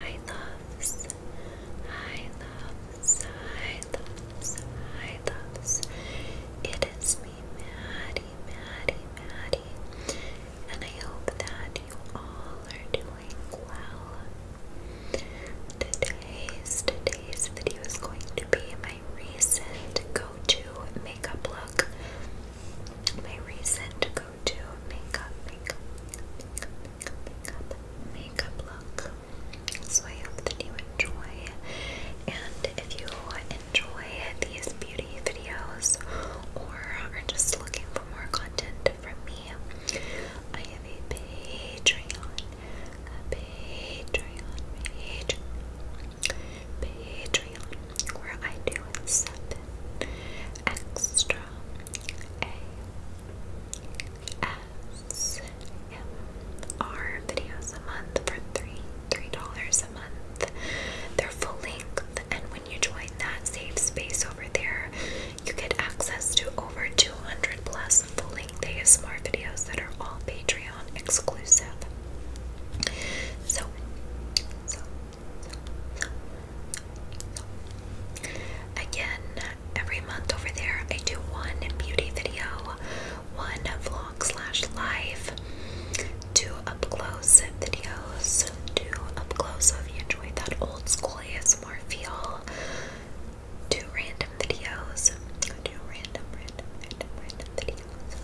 I loves, I loves, I loves, I loves. It is me, Maddie, Maddie, Maddie, and I hope that you all are doing well. Today's today's video is going to be my recent go-to makeup look. My recent go-to makeup, makeup, makeup, makeup, makeup, look. So I you enjoy. And if you enjoy these beauty videos or are just looking for more content from me, I have a Patreon, a Patreon page, Patreon, where I do seven extra a SMR videos a month for three three dollars a month. They're full length, and when you join that safe space over there, you get access to over 200 plus full length Smart videos that are all Patreon exclusive. so, Again, every month over there, I do one beauty video, one vlog slash live, two up close videos, two up close. So if you enjoy that old school more feel, two random videos, two random, random, random, random videos.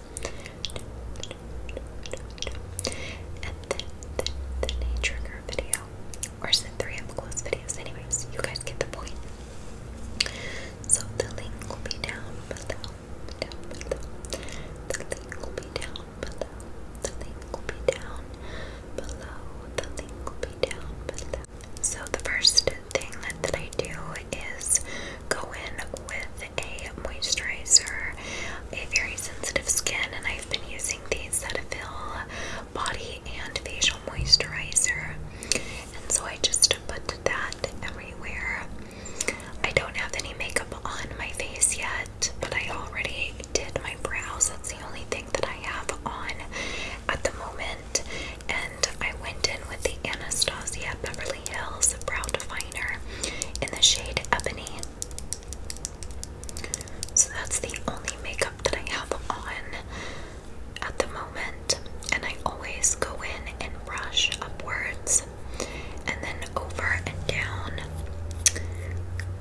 And then, then, then a video. Or is it three up close videos? Anyways, you guys get the point. So the link will be down below. The link will be down below. The link will be down below. The link will be down below. So the first thing that, I do is go in with a moisturizer. A very sensitive skin, and I've been using the Cetaphil body and facial moisturizer. And so I just put that everywhere. I don't have any makeup on my face yet, but I already did my brows. That's the only thing that I have on at the moment. And I went in with the Anastasia Beverly Hills Brow Definer in the shade Ebony. So that's the only makeup that I have on at the moment. And I always go in and brush upwards and then over and down.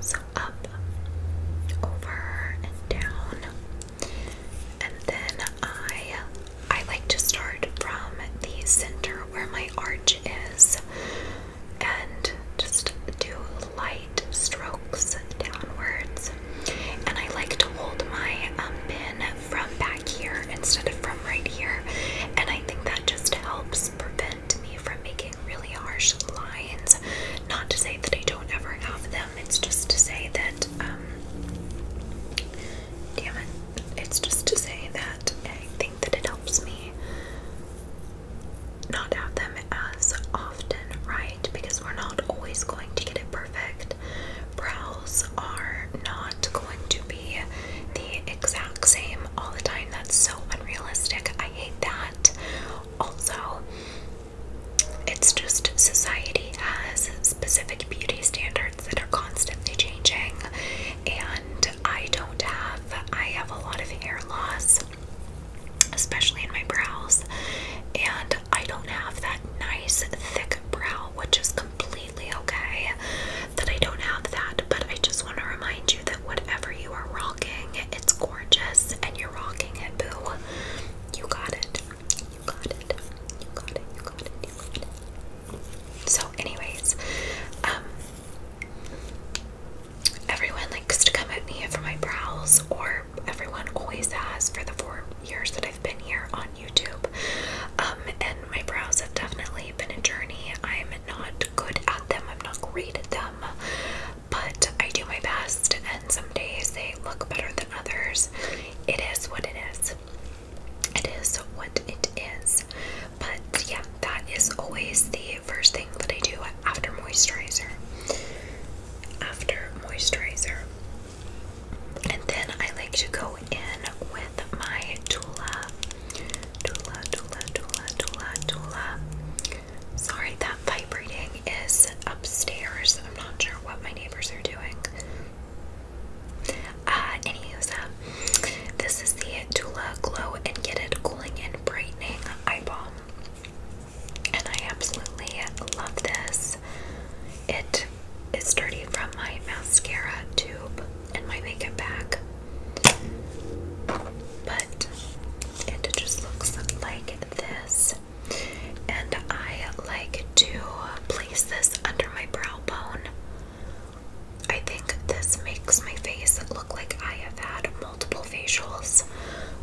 So up, over, and down. And then I I like to start from the center where my arch is and just do light light strokes downwards. And I like to hold my um, pin from back here instead of from right here. And I think that just helps prevent me from making really harsh lines. Not to say that I don't ever have them, it's just to say that, um, it's just to say that I think that it helps me not have them as often, right? Because we're not always going to get it perfect. Brows are not going to be the exact same all the time. That's so unrealistic. I hate that. Also, it's just society has specific beauty standards that are constantly changing, and I don't have, I have a lot of hair loss especially in my brows. And I don't have that nice thick brow, which is completely okay that I don't have that. But I just want to remind you that whatever you are rocking, it's gorgeous and you're rocking it, boo. You got it. You got it. You got it. You got it. You got it. So, anyways, um, everyone likes to come at me for my brows, or everyone always has for the four years that I've been here on YouTube. Um, and my brows have definitely been a journey. I'm not good at them, I'm not great at them, but I do my best, and some days they look better than others. It is what it is. It is what it is. But yeah, that is always the the first thing that I do after moisturizer. After moisturizer. And then I like to go in with my Tula. Tula, Tula, Tula, Tula, Tula. Sorry, that vibrating is upstairs. I'm not sure what my neighbors are doing. Uh, anyways, uh, this is the Tula Glow and Get It Cooling and Brightening Eye Balm and I absolutely love this. It is dirty from my mascara tube and my makeup bag, but it just looks like this. And I like to place this under my brow bone. I think this makes my face look like I have had multiple facials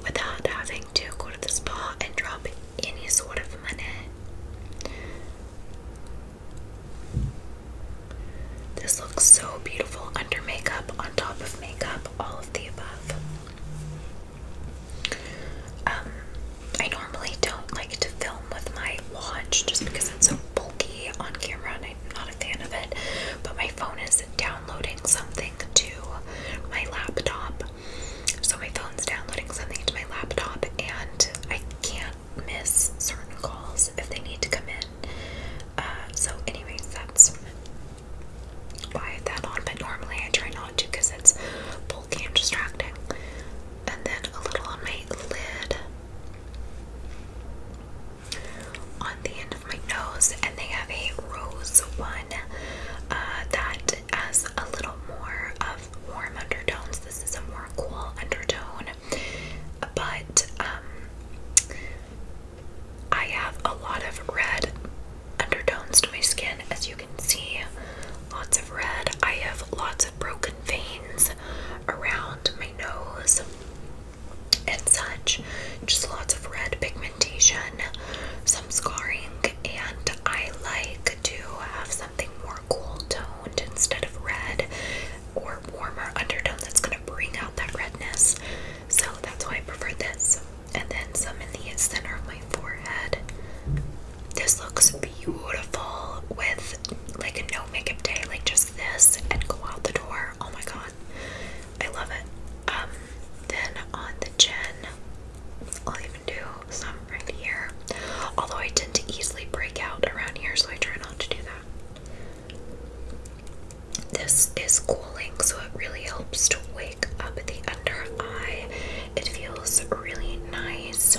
without having to go to the spa and drop any sort of money. This looks so beautiful under makeup, on top of makeup, all of the above. Um, I normally don't like to film with my watch just because it's so bulky on camera and I'm not a fan of it, but my phone is down downloading something to my laptop. So my phone's downloading something to my laptop, and I can't miss certain calls if they need to come in. Uh, so, anyways, that's why I have that on. But normally I try not to because it's bulky and distracting. And then a little on my lid. On the my nose, and they have a rose one uh, that has a little more of warm undertones. This is a more cool undertone, but um, I have a lot of red undertones to my skin, as you can see. Lots of red. I have lots of broken veins around my nose and such. Just lots of red pigment some scarring, and I like to have something more cool toned instead of red or warmer undertone that's going to bring out that redness. So that's why I prefer this. And then some in the center of my forehead. This looks beautiful with like a no makeup day, like just this and go out the door. Oh my god. I love it. Um then on the chin, I'll even do some right here. Although I tend to easily break out around here, so I try not to do that. This is cooling, so it really helps to wake up the under eye. It feels really nice.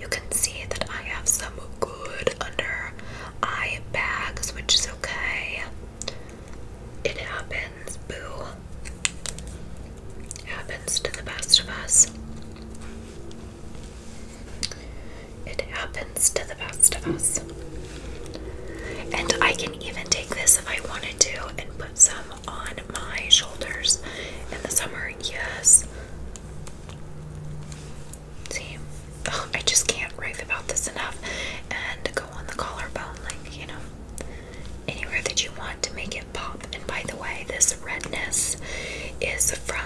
You can see that I have some good under eye bags, which is okay. It happens, boo. happens to the best of us. It happens to the best of us. And I can even take this if I wanted to and put some on my shoulders in the summer. Yes. See, oh, I just can't rave about this enough and go on the collarbone, like, you know anywhere that you want to make it pop. And by the way, this redness is from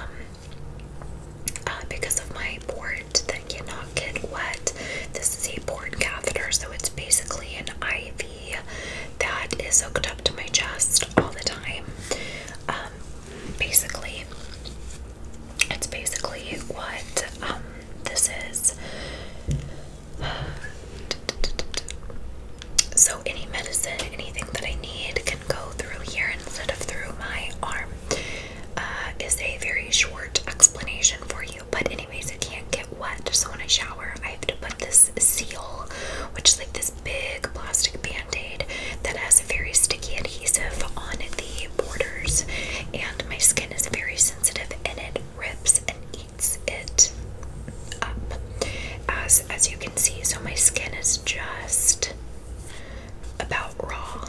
uh, because of my port that cannot get wet. This is a port catheter, so it's basically an IV that is hooked up to my chest all the time. Um, basically, it's basically what um, this is. So, any medicine, anything that I need can go through here instead of through my arm, uh, is a very short explanation for you. But, anyways, it can't get wet. So, when I shower, I have to put this seal, which is like this big plastic band aid that has a very sticky adhesive on the borders. And my skin is very sensitive and it rips and it up as as you can see so my skin is just about raw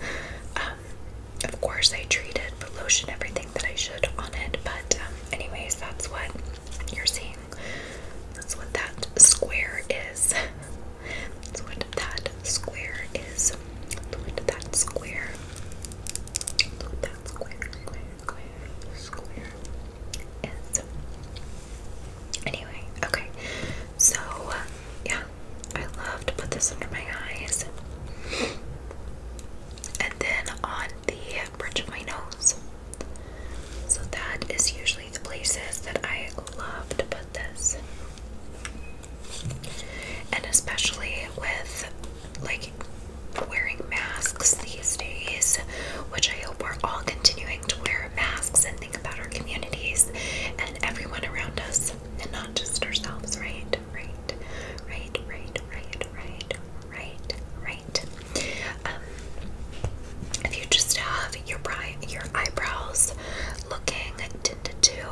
um, of course I treated with lotion everything that I should on it but um, anyways that's what you're seeing that's what that square is that's what that square is that square Anyway, okay. So, yeah, I love to put this under my eyes. And then on the bridge of my nose. So, that is usually the places that I love to put this. And especially with like like wearing masks these days, which I hope we're all continuing to wear masks and think about our communities and everyone around us and not just ourselves, right? Right, right, right, right, right, right, right. Um, if you just have your, your eyebrows looking tinted too,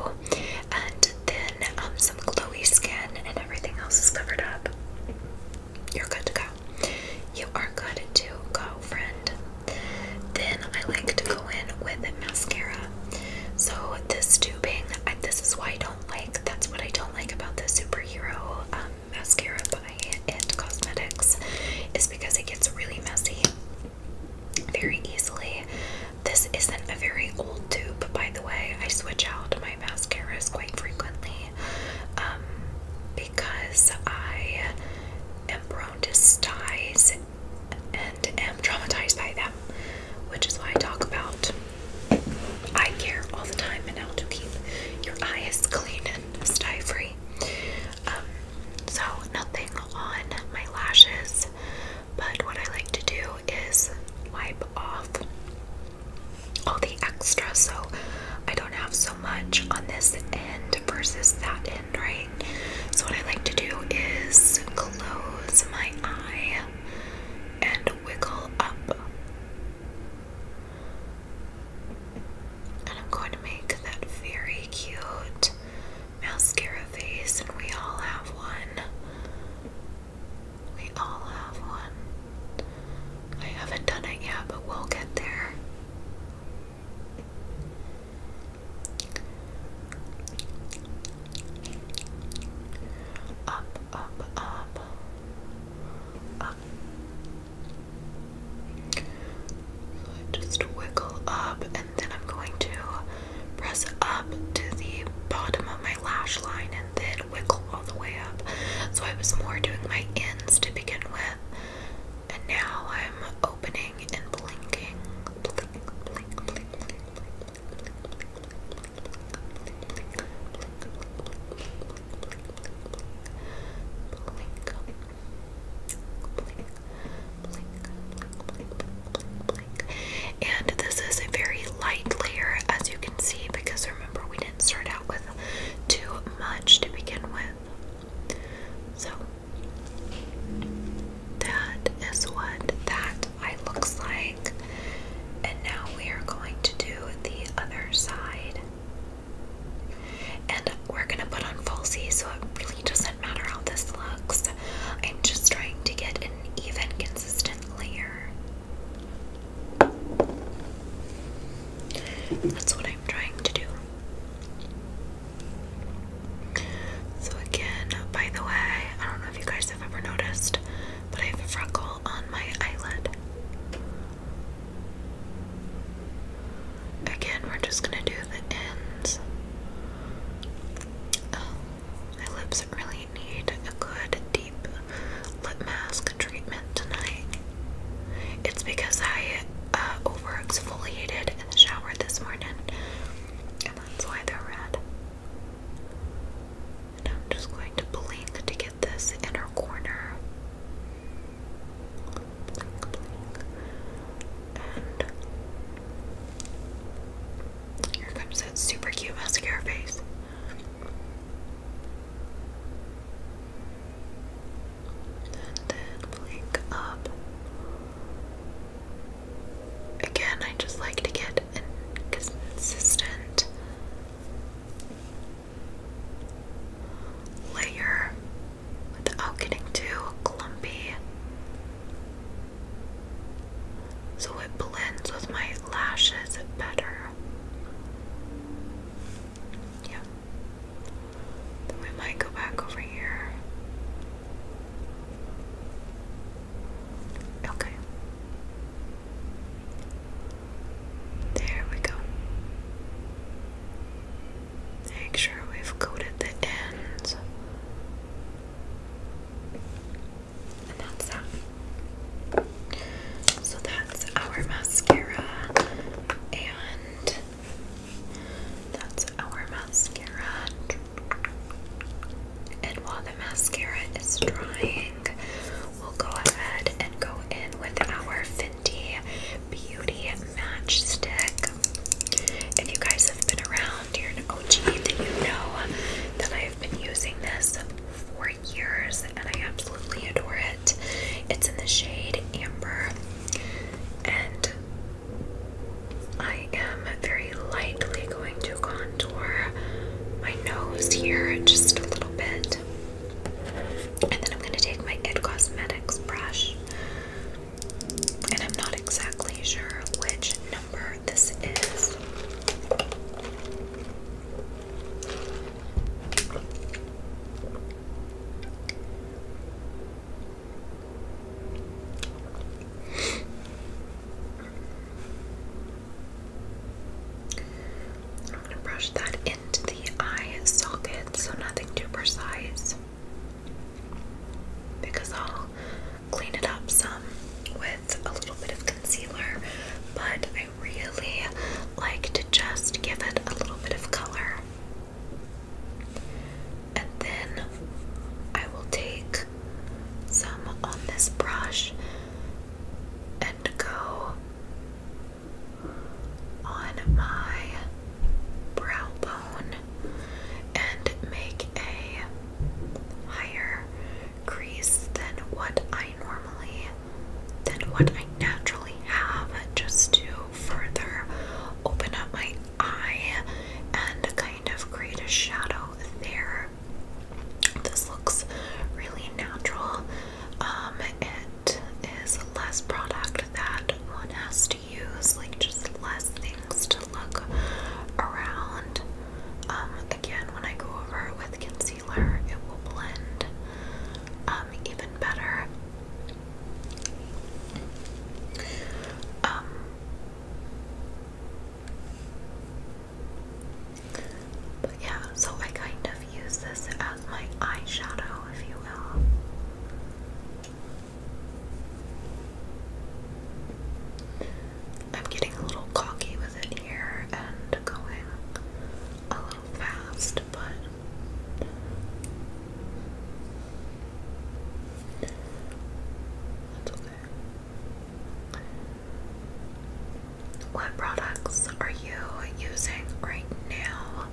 and then um, some glowy skin and everything else is covered up. You're good to go. You are good to go, friend. Then I like to go in with mascara. So this tubing, this is why I don't like. That's what I don't like about the superhero um, mascara by It Cosmetics, is because it gets really messy very easily. This isn't a very old tube, by the way. I switch out my mascaras quite frequently um, because I am prone to styes and am traumatized by them, which is why I talk about eye care all the time and I'll do keep your eyes clean and sty free. Um, so, nothing on my lashes, but what I like to do is wipe off all the extra, so I don't have so much on this end versus that end, right? So, what I like to do is close my eye and wiggle up. And I'm going to make that very cute mascara face, and we all have one. We all have one. I haven't done it yet, but we'll get there. Up, up, up, up. So I just wiggle up, and then I'm going to press up to the bottom of my lash line and then could wiggle all the way up. So I was more doing my ins to begin with. And now I'm opening and blinking. And this is a very light layer, as you can see, because remember we didn't start out with too much to begin with. So that is what that eye looks like. And now we are going to do the other side. And we're going to put on falsies, so it really doesn't matter how this looks. I'm just trying to get an even, consistent layer. That's what I'm trying to do. So, again, by the way, I don't know if you guys have ever noticed, but I have a freckle on my eyelid. Again, we're just gonna do the ends. Oh, my lips really I need a good deep lip mask treatment tonight. It's because I uh, over exfoliated in the shower this morning, and that's why they're red. And I'm just going to blink to get this inner corner. And here comes that super cute mascara face. And then blink up. Again, I just like to get consistent layer without getting too clumpy. So it blends with my lashes better. Yeah. we might go back over here. Okay. There we go. Make sure we've coated the ends. And So that's our mascara. And that's our mascara. And while the mascara is drying, we'll go ahead and go in with our Fenty Beauty match stick. If you guys have been around, you're an OG, that you know that I have been using this for years and I absolutely adore it. It's in the shade Amber and I am very lightly going to contour my nose here just a little bit. And then I'm going to take my It Cosmetics brush. And I'm not exactly sure which number this is. I'm going to brush that into the eye socket so nothing too precise because I'll clean it up some with a little bit of concealer, but really like to just give it a little bit of color. And then I will take some on this brush and go on my brow bone and make a higher crease than what I normally than what I naturally have just to further open up my eye and kind of create a shadow there. This looks really natural. Um, it is less product that one has to use, like just less things to look around. Um, again, when I go over it with concealer it will blend um, even better. Um, but yeah, so I kind of use this as my eyeshadow, if you will. I'm getting a little cocky with it here and going a little fast, but that's okay. What products are you using right now?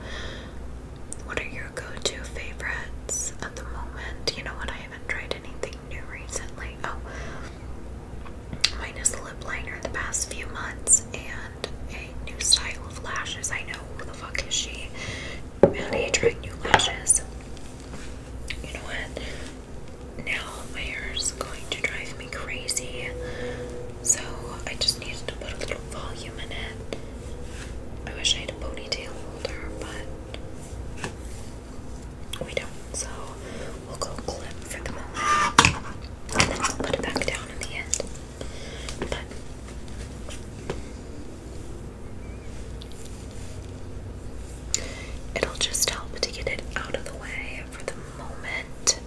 What are your go to favorites at the moment? You know what? I haven't tried anything new recently. Oh, minus the lip liner the past few months and a new style of lashes. I know who the fuck is she? How do new lashes? You know what? Now my hair is going to drive me crazy. So I just needed to put a little volume in it. I wish I had a ponytail holder, but we don't. So we'll go clip for the moment. And then we'll put it back down in the end. But it'll just help to get it out of the way for the moment.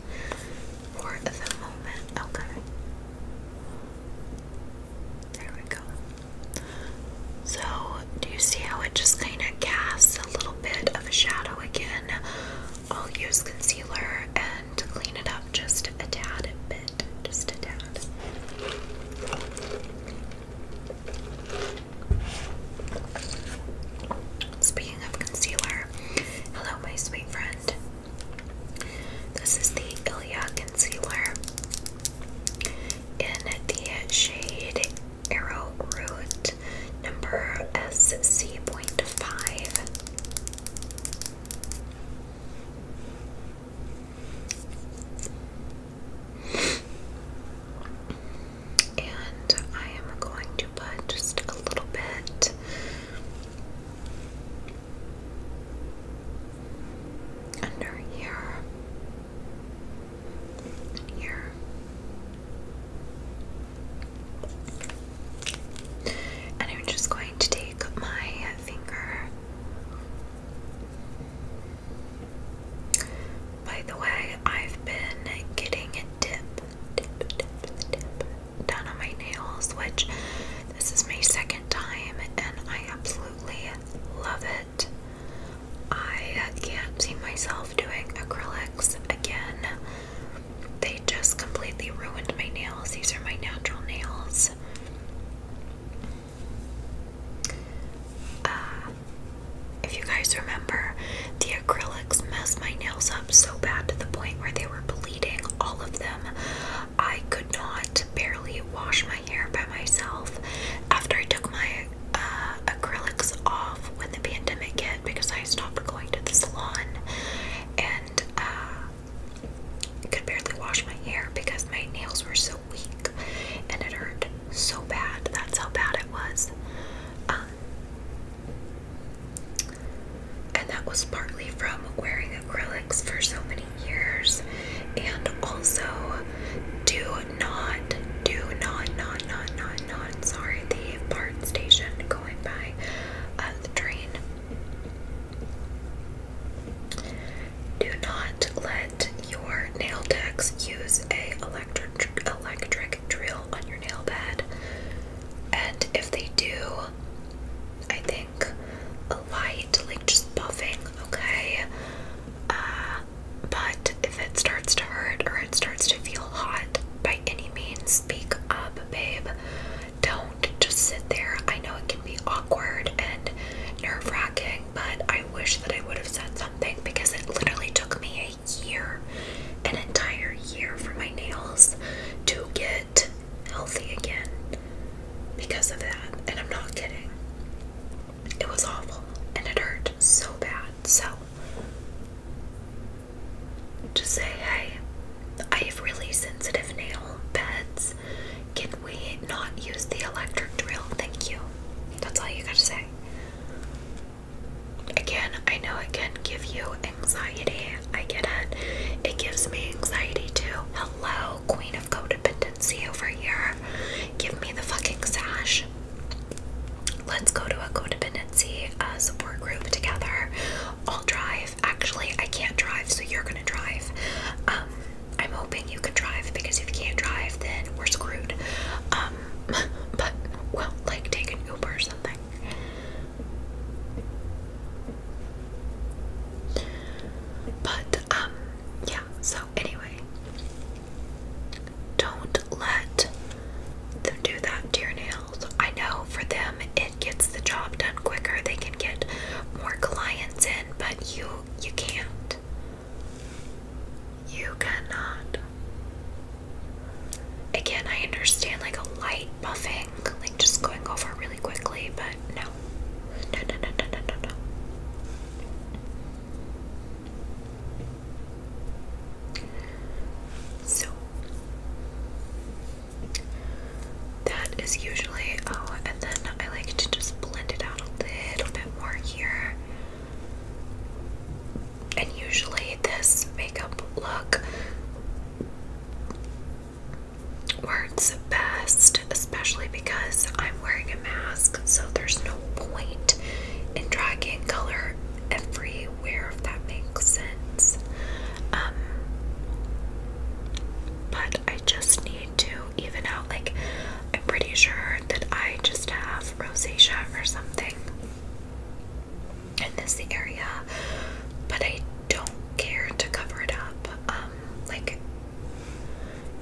For the moment. Okay. There we go. So, do you see how it just kind of casts a little bit of a shadow again I'll use concealer and clean it up just a tad bit. Just a tad. Speaking of concealer, hello, my sweet friend. This is the Ilia concealer in the shade Arrow Root palette number SC.5. And I am going to put just a little bit under here, here, and I'm just going to take my finger. By the way, I've been getting a dip, dip, dip, dip done on my nails, which this is my second time, and I absolutely love it. I can't see myself doing acrylics again. They just completely ruined my nails. These are my natural nails. Uh, if you guys remember, the acrylics messed my nails up so bad to the point where they were bleeding, all of them. I could not barely wash my hair by myself. After I took my uh, acrylics off when the pandemic hit, did because I stopped going to the salon and uh, could barely wash my hair because my nails were so weak and it hurt so bad. That's how bad it was. Um, and that was partly from wearing acrylics for so many years and also do not, do not, not, not, not, not, sorry, the part station going by uh, the train. Do not let your nail techs use a electric electric drill on your nail bed. And if they do, I think a light, like just buffing, okay? Uh, but if it starts to hurt or it starts to feel hot, any means. Speak up, babe. Don't just sit there. I know it can be awkward and nerve wracking, but I wish that I would have said something because it literally took me a year, an entire year for my nails to get healthy again because of that. And I'm not kidding. It was awful and it hurt so bad. So to say, hey, I have really sensitive nail beds. Can we not use the electric drill? Thank you. That's all you gotta say. Again, I know it can give you anxiety. I get it. It gives me anxiety too. Hello, queen of codependency over here. Give me the fucking sash. Let's go to a codependency uh, support group together. I'll drive. Actually, I can't drive, so you're gonna drive. Um, I'm hoping you can drive because if you can't drive, then we're screwed. Um, but well, like take Uber or something. But um, yeah. So anyway, don't let them do that to your nail. I know for them it gets the job done quicker. They can get more clients in, but you you can't. You cannot. Again, I understand like a light buffing, like just going over really quickly, but no. No, no, no, no, no, no, no. So, that is usually, oh, and then I like to just blend it out a little bit more here. And usually, this makeup look works best, especially because I'm wearing a mask, so there's no point in dragging color every aware if that makes sense. Um, but I just need to even out. Like, I'm pretty sure that I just have rosacea or something in this area, but I don't care to cover it up. Um, like,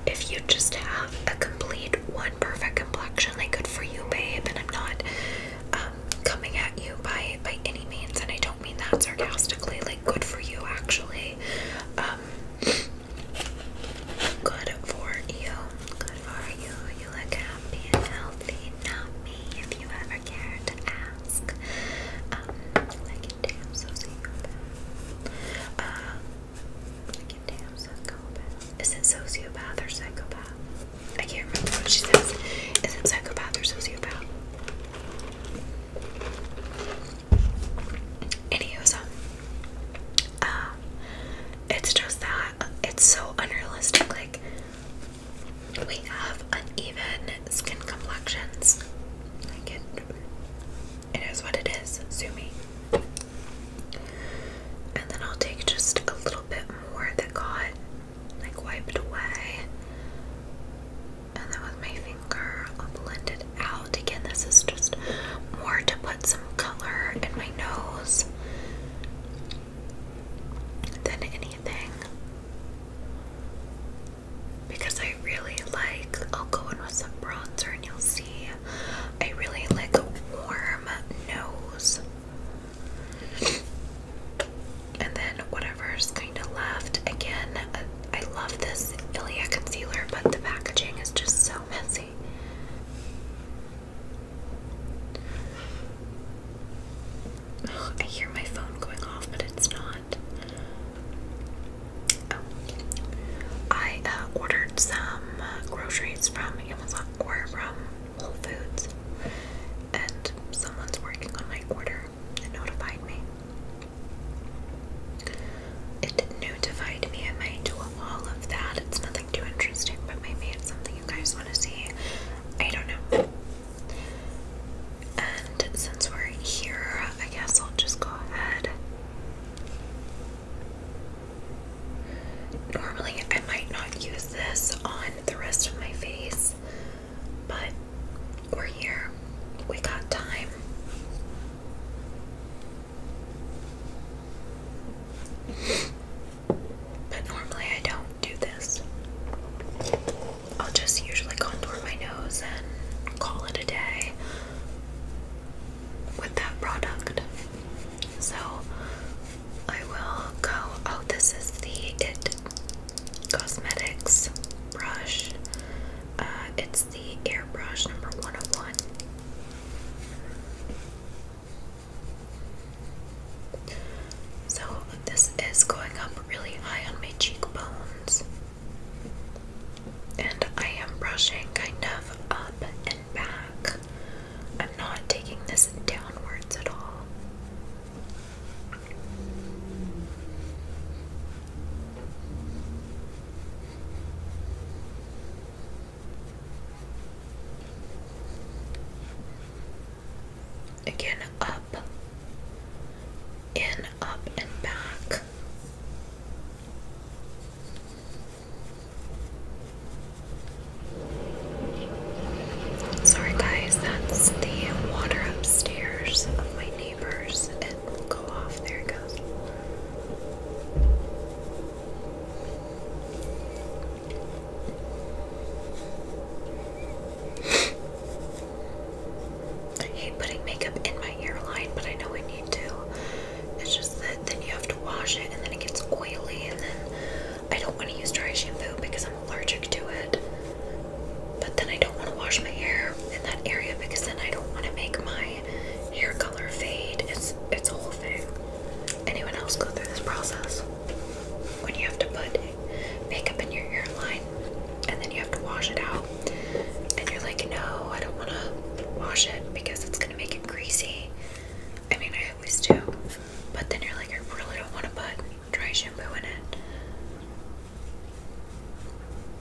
if you just have a complete one perfect complexion, like, good for you, babe. And I'm not um, coming at you by by any means, and I don't mean that sarcastically. Like, good for you, actually. Um, good for you. Good for you. You look happy and healthy. Not me, if you ever care to ask. like um, it damn so like uh, it damn psychopath. Is it sociopath or psychopath? I can't remember what she says. Is it psychopath or sociopath? Anywho, um, it's just that it's so unrealistic. Like we have uneven skin complexions. Like it, it is what it is. Zoomy. And then I'll take just a little bit more that got like wiped away. And then with my finger, I'll blend it out. Again, this is just more to put some color in my nose than anything. Because I really like, I'll go in with some bronzer and you'll see, I really like a warm nose. And then whatever is kind of left. Again, I love this Ilia concealer, but the packaging is just so messy. I hear my phone going off, but it's not. Oh. I uh, ordered some groceries from Amazon or from Whole Foods, and someone's working on my order and notified me. It notified me. I might do all of that. It's nothing too interesting, but maybe it's something you guys want to see. I don't know. And since we're here, I guess I'll just go ahead. Normally, I might not use this on the rest of my face but we're here. We got time. But normally I don't do this. I'll just usually contour my nose and call it a day with that product. So I will go. Oh, this is the It Cosmetics brush. Uh, it's the airbrush number 101. So this is going up really high on my cheekbones. And I am brushing kind of up and back. I'm not taking this downwards at all. Again, up, in, up, and back. Sorry, guys, that's the water upstairs of my neighbors. It will go off. There it goes. I hate putting makeup in my earline, but I know I need to. It's just that then you have to wash it and then it gets oily, and then I don't want to use dry shampoo because I'm i allergic to it. But then I don't want to wash my hair in that area because then I don't want to make my hair color fade. It's it's a whole thing. Anyone else go through this process? When you have to put makeup in your hairline and then you have to wash it out and you're like, no, I don't want to wash it because it's going to make it greasy. I mean, I always do. But then you're like, I really don't want to put Try shampoo in it.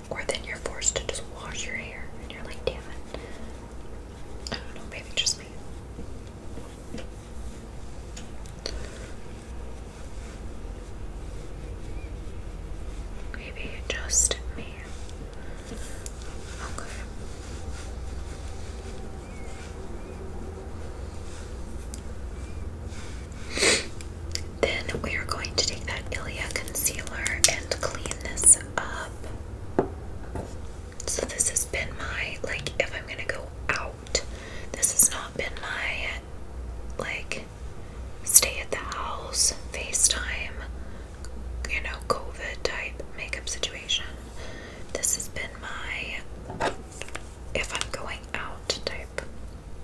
Or then you're forced to just wash your hair and you're like, damn it. I don't know, maybe just me. Maybe just me. Okay. Then we are going to take that Ilia concealer and clean this up. So this has been my like if I'm gonna go out, this has not been my like stay at the house, FaceTime, you know, COVID type makeup situation. This has been my if I'm going out type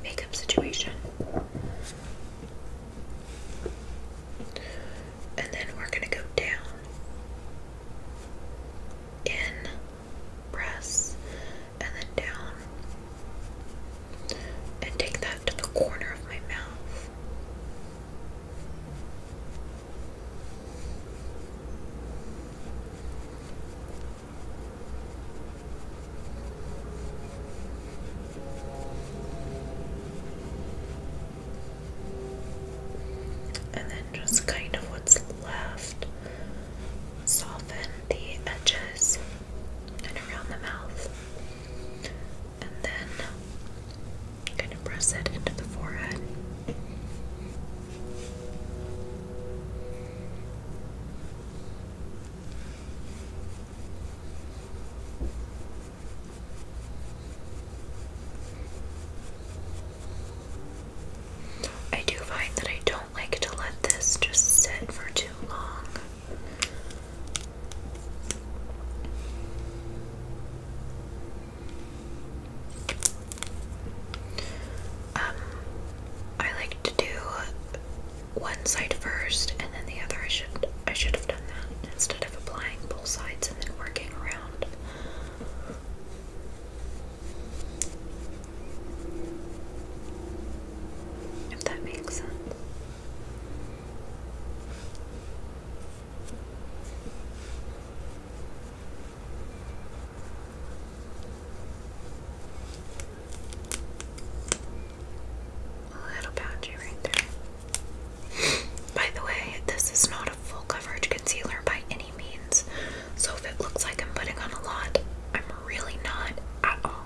makeup situation. And then we're going to go down. In, press, and then down. And take that to the corner of my mouth. And then just kind of what's left, soften the edges and around the mouth. And then kind of press it into the forehead. I do find that I don't like to let this just sit for too long. Um, I like to do one side first and then the other. I should I should have done that instead of applying both sides and then working around. If that makes sense. A little patchy right there. by the way, this is not a full coverage concealer by any means. So if it looks like I'm putting on a lot, I'm really not at all.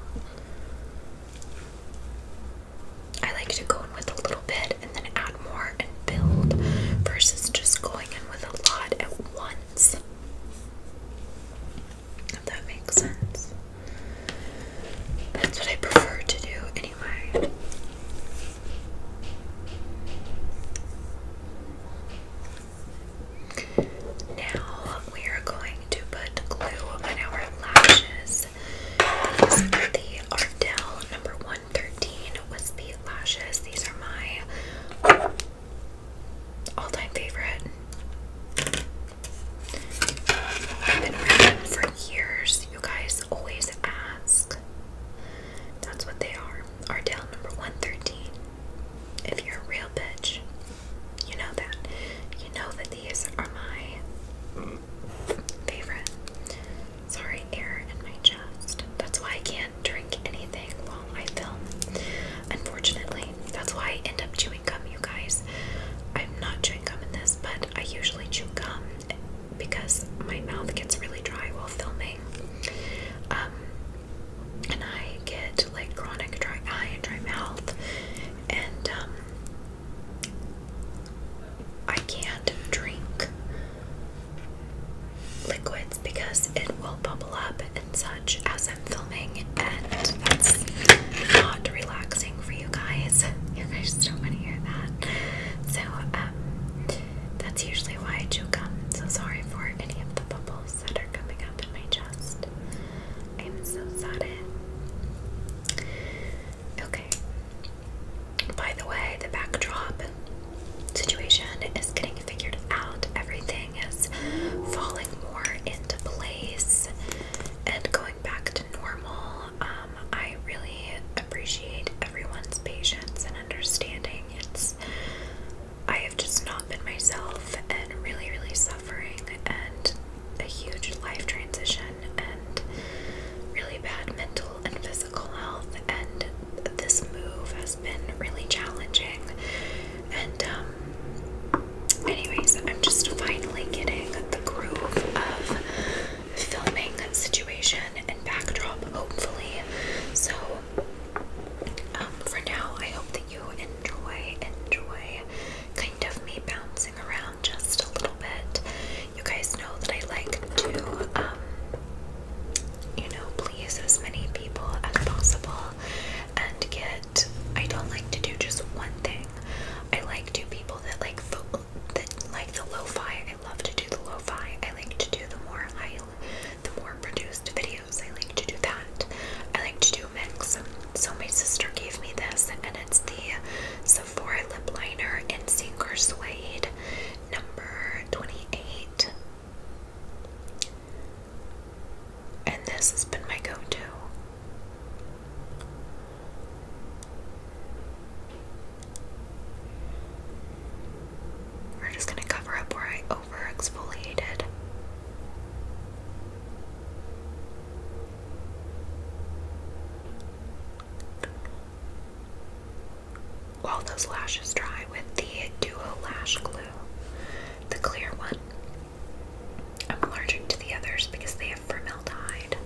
I like to go in with a little bit and then add more and build versus just going in with a lot at once. If that makes sense. That's what I prefer to do anyway. Now we are going to put glue on our lashes. These are the Ardell number 113 wispy lashes. These are my all time favorite. I've been reading for years. You guys always ask. That's what they are. Ardell number 113. If you're a real bitch, you know that. You know that these are my favorite. Sorry, air in my chest. That's why I can't drink any anything I film. Unfortunately, that's why I end up chewing gum, you guys. I'm not chewing gum in this, but I usually chew gum because my mouth gets really dry while filming. Um, and I get like chronic dry eye and dry mouth, and um, I can't drink liquids because it will bubble up and such as I'm filming, and that's not relaxing for you guys. You guys don't want to hear that. So, um, that's usually why I choke up. So sorry for any of the bubbles that are coming up in my chest. I'm so sorry. Okay. By the way, the backdrop situation is getting figured out. Everything is falling more into place and going back to normal. Um, I really appreciate everyone's patience and understanding. It's I have just not been myself and really, really suffering and a huge life transition and really bad mental and physical health and this move has been really challenging and um, anyways, I'm just finally getting the groove of filming situation and backdrop, hopefully. So um, for now, I hope that you enjoy, enjoy kind of me bouncing around just a little bit. You guys know that I like to, um, you know, please as many people as possible and get I don't like to do just one thing. I like to people that like the like the lo-fi. I love to do the lo I like to do the more the more produced videos. I like to do that. I like to do a mix. So my sister gave me this and it's the Sephora lip liner in Singer Suede number 28. And this has been my go to. We're just going to cover up where I over exfoliated. While those lashes dry with the Duo Lash Glue, the clear one, I'm allergic to the others because they have formaldehyde.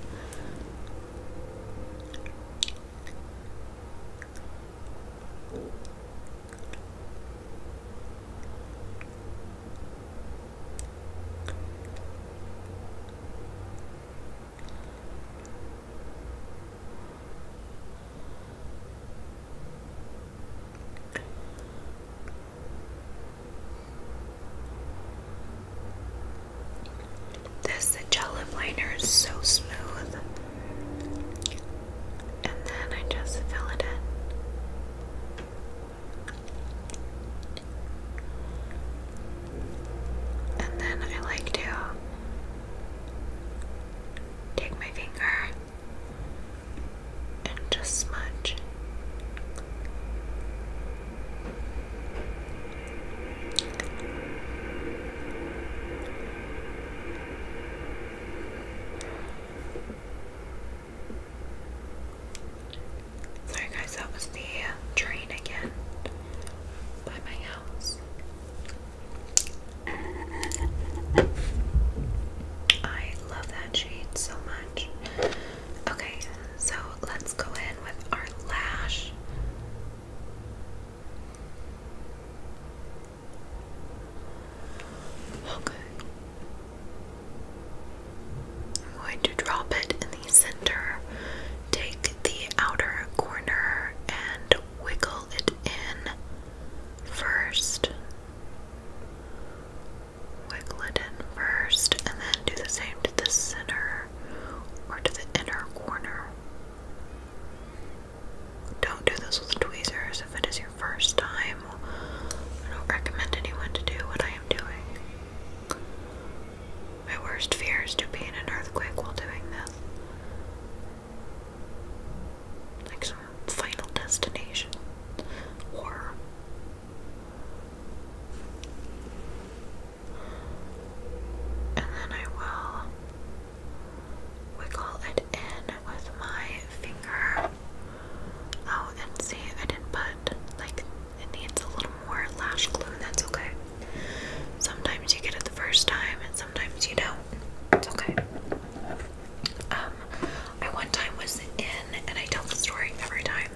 This gel gellip liner is so smooth, and then I just fill it in. And then I like to take my finger and just smudge. Sorry guys, that was the train again by my house. I love that shade so much. Okay, so let's go in with our lash. Okay. I'm going to drop it in the center, take the outer corner, and wiggle it in first. Wiggle it in first, and then do the same to the center or to the inner corner. Don't do this with tweezers if it is your first time. I don't recommend anyone to do what I am doing. My worst fear is to be in an earthquake while doing this. Like Final Destination or and then I will wiggle it in with my finger. Oh, and see, I didn't put, like, it needs a little more lash glue, that's okay. Sometimes you get it the first time, and sometimes you don't. It's okay. Um, I one time was in, and I tell the story every time.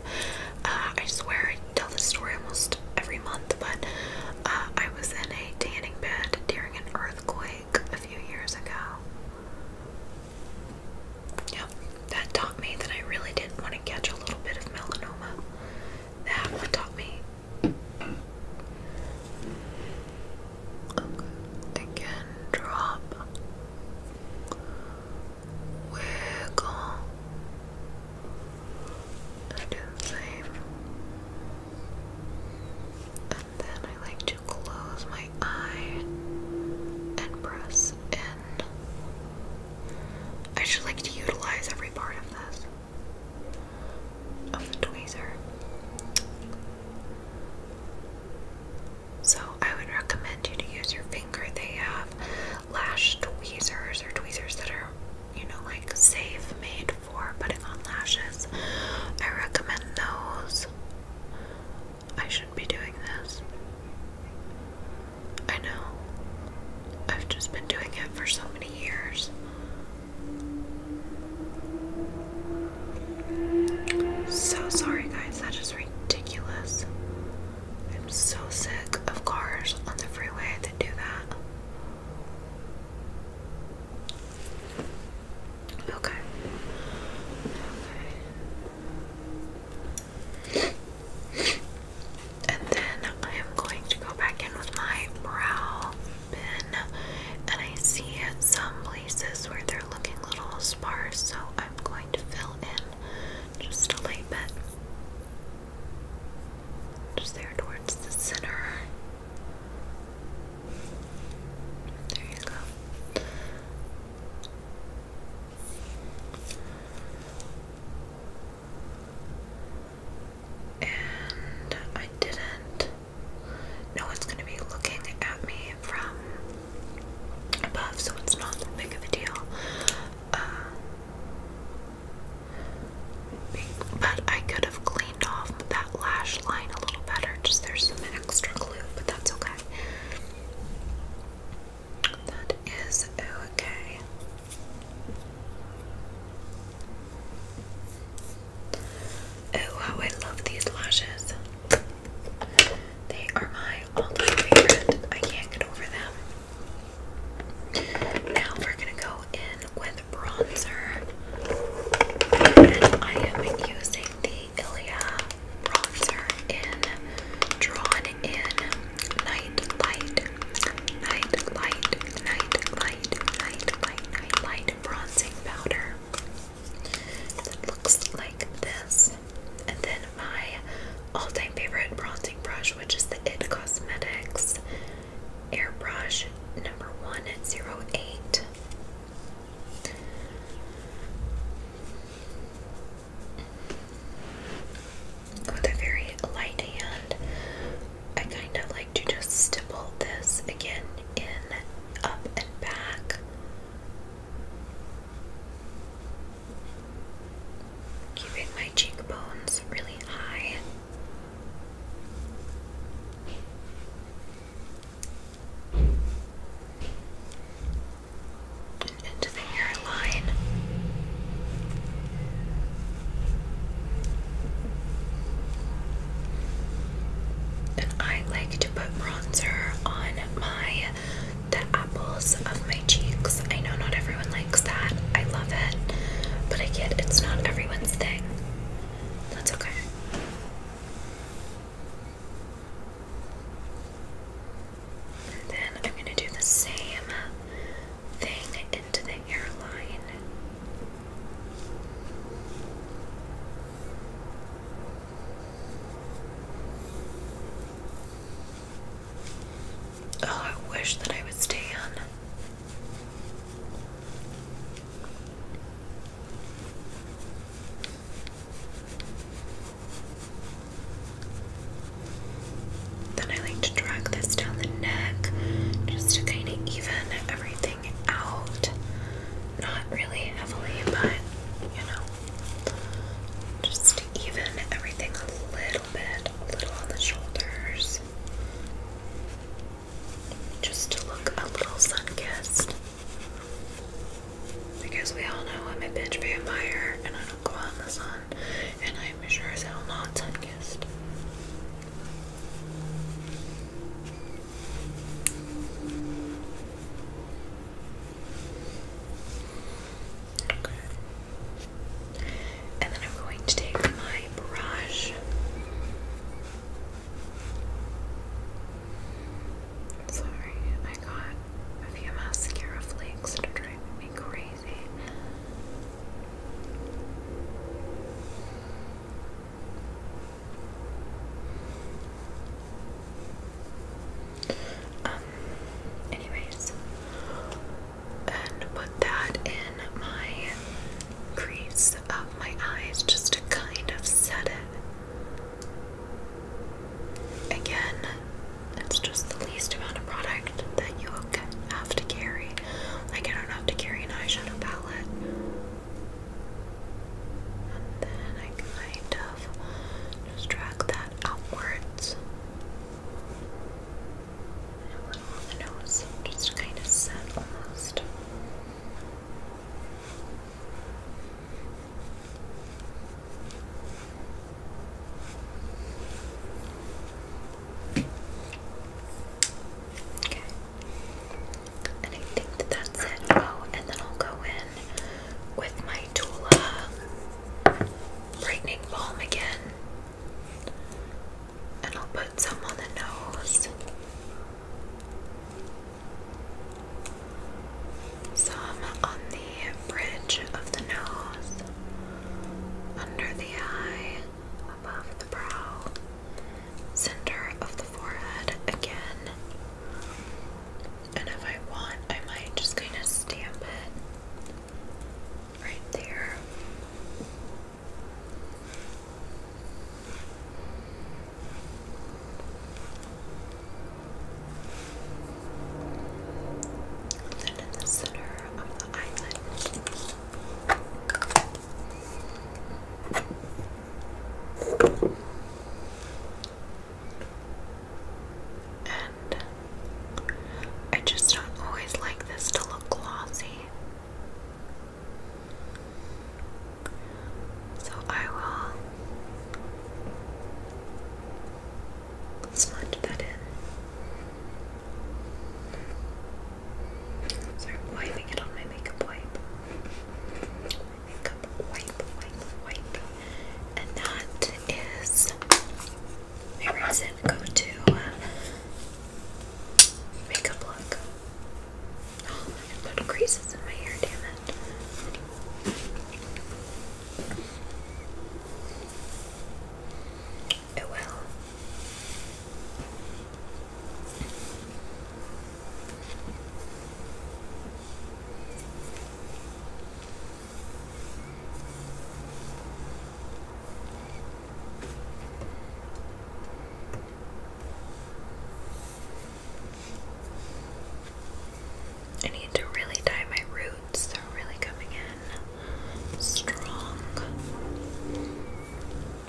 Uh, I swear I tell this story almost every month, but uh, I was in a tanning bed during an earthquake a few years ago. Yep, that taught me that I really didn't want to catch a little bit of melanoma. That taught me. Okay. Again, drop Wiggle and inflame. And then I like to close my eye and press in. I just like to utilize every part of this. Of the tweezer. So I would recommend you to use your finger. They have lash tweezers or tweezers that are, you know, like safe made for putting on lashes. I recommend those. I shouldn't be doing this. I know. I've just been doing it for so many years. So sorry, guys, that is ridiculous. I'm so sick of cars on the freeway that do that. Okay. Okay. And then I am going to go back in with my brow bin, and I see some places where they're looking little sparse, so I'm going to fill in just a little bit. Just there towards the center. There you go. And I didn't. No one's going to be looking at me from above, so it's not that big of a deal. Uh, but I could have cleaned off that lash line a little better. Just there's some extra glue, but that's okay. That is okay. Oh, how I love these lashes. They are mine. I can't get over them. Now we're gonna go in with bronzer, and I am using the Ilia bronzer in Drawn In Night Light, Night Light, Night Light, Night Light, Night Light bronzing powder that looks like this. And then my all-time favorite bronzing brush, which is the IT Cosmetics Airbrush number 108. With a very light hand, I kind of like to just stipple this again in, up, and back Keeping my cheekbones really high. into the hairline. And I like to put bronzer on my the apples of my cheeks. I know not everyone likes that. I love it. But I get it's not everyone's thing. That's okay. And then I'm going to do the same thing into the airline. Oh, I wish that I would stay on. Then I like to drag this down the neck just to kind of even everything out. Not really heavily, but you know. Just to even everything a little bit, a little on the shoulders. Just to look a little sun kissed. Because we all know I'm a bitch vampire and I don't go out in the sun, and I'm sure as hell not sun kissed. Okay. And then I'm going to take my brush. Sorry, I got a few mascara flakes that are driving me crazy. Um, anyways, and put that in my crease of my eyes just to kind of set it. Again, it's just the least amount of product that you have to carry. Like, I don't have to carry an eyeshadow palette. And then I kind just drag that outwards. And a on the nose, just kind of set almost. Okay. And I think that that's it. Oh, and then I'll go in with my Tula brightening balm again. And I'll put some on the nose. Some on the bridge of the nose, under the eye, above the brow, center of the forehead again, and if I want, I might just kind of stamp it right there. then in the center of the island. And I just don't always like this to look glossy. So I will smudge that in. Sorry, wiping it on my makeup wipe. makeup wipe, wipe, wipe and that is my recent go-to uh, makeup look. Oh, I little creases in my hair, damn it. It will. I need to really tie my roots, they're really coming in strong.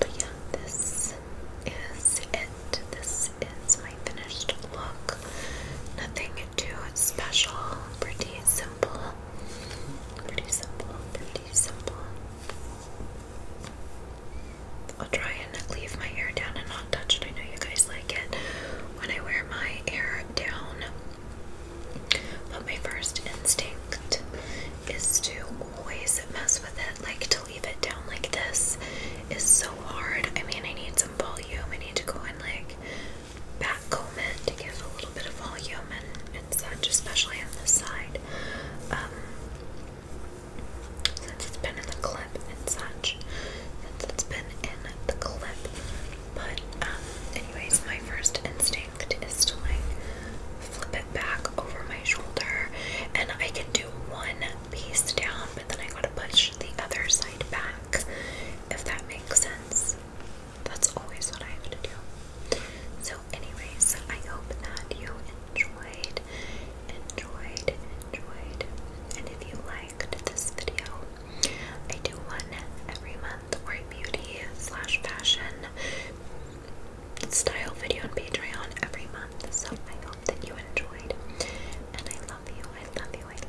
But yeah, this is it. This is finished look. Nothing too special, pretty simple. Pretty simple, pretty simple. I'll try and leave my hair down and not touch it. I know you guys like it when I wear my hair down. But my first instinct is to always mess with it. Like to leave it down like this is so hard. I mean, I need some volume. I need to go and like backcomb it to give a little bit of volume and, such, especially on this side. Um, since it's been in the clip and such, since it's been in the clip. But, um, anyways, my first instinct is to like flip it back over my shoulder, and I can do one piece down, but then I gotta push the other side back if that makes sense. That's always what I have to do. So, anyways, I hope that you enjoyed, enjoyed, enjoyed, and if you liked this video, I do one every month or beauty slash fashion style video on Patreon every month. So I hope that you enjoyed, and I love you. I love you.